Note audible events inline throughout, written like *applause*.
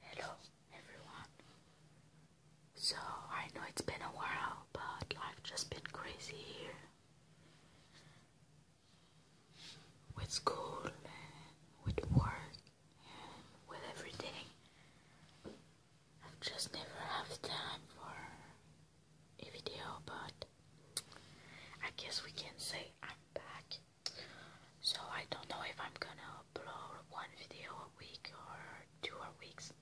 Hello everyone. So I know it's been a while, but life just been crazy here with school with work with everything. I've just never have time for a video, but I guess we can say I'm back. So I don't know if I'm gonna upload one video a week or two or weeks,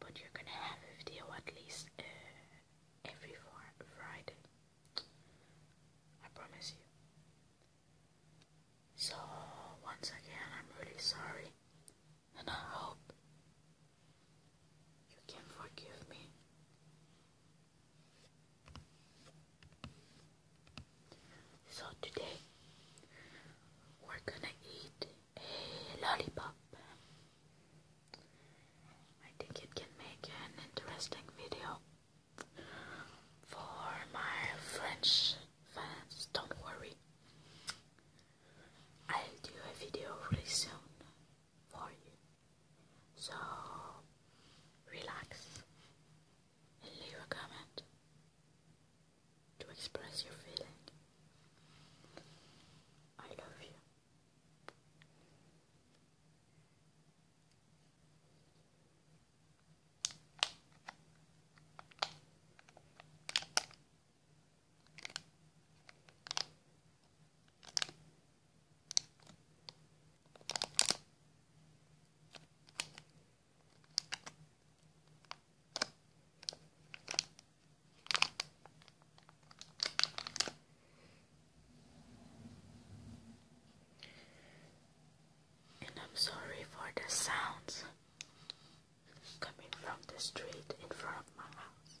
but you're gonna have a video at least uh, every Friday. I promise you. So once again, I'm really sorry, and I hope you can forgive me so today we're gonna eat a lollipop. I think it can make an interesting video for my French fans. Don't worry, I'll do a video really soon for you. So relax and leave a comment to express your feeling. I love you. And I'm sorry for the sounds coming from the street in front of my house.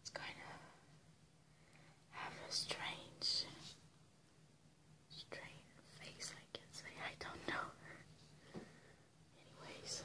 It's kind of have a strange, strange face, I can say. I don't know. Anyways.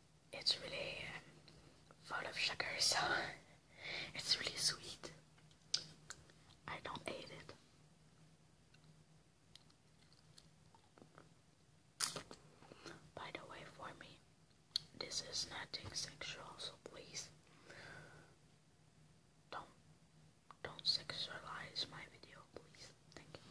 it's really full of sugar, so *laughs* it's really sweet. I don't hate it. By the way, for me, this is nothing sexual, so please don't don't sexualize my video, please. Thank you.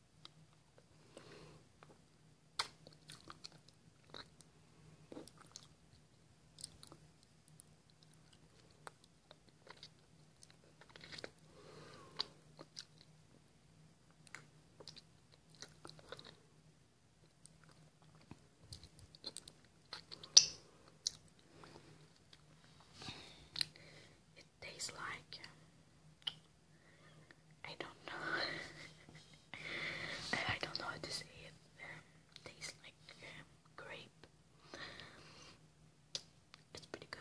It tastes like I don't know. *laughs* I don't know how to say it. Um, tastes like um, grape. It's pretty good.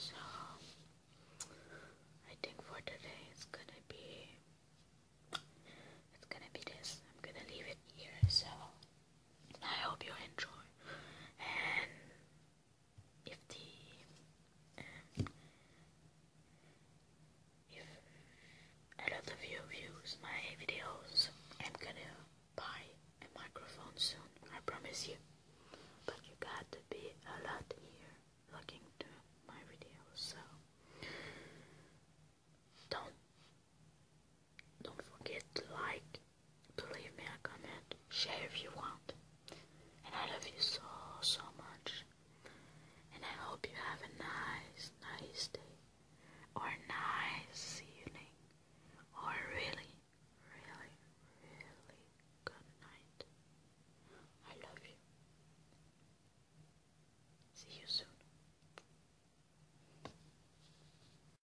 So, I think for today it's gonna be it's gonna be this. I'm gonna leave it here. So. I hope you enjoy. And if the if a lot of you views my videos, I'm gonna buy a microphone soon. I promise you. But you got to be a lot here looking to my videos, so don't don't forget to like, to leave me a comment, share if you want. And I love you so, so much. And I hope you have a nice, nice day. Or nice evening. Or really, really, really good night. I love you. See you soon.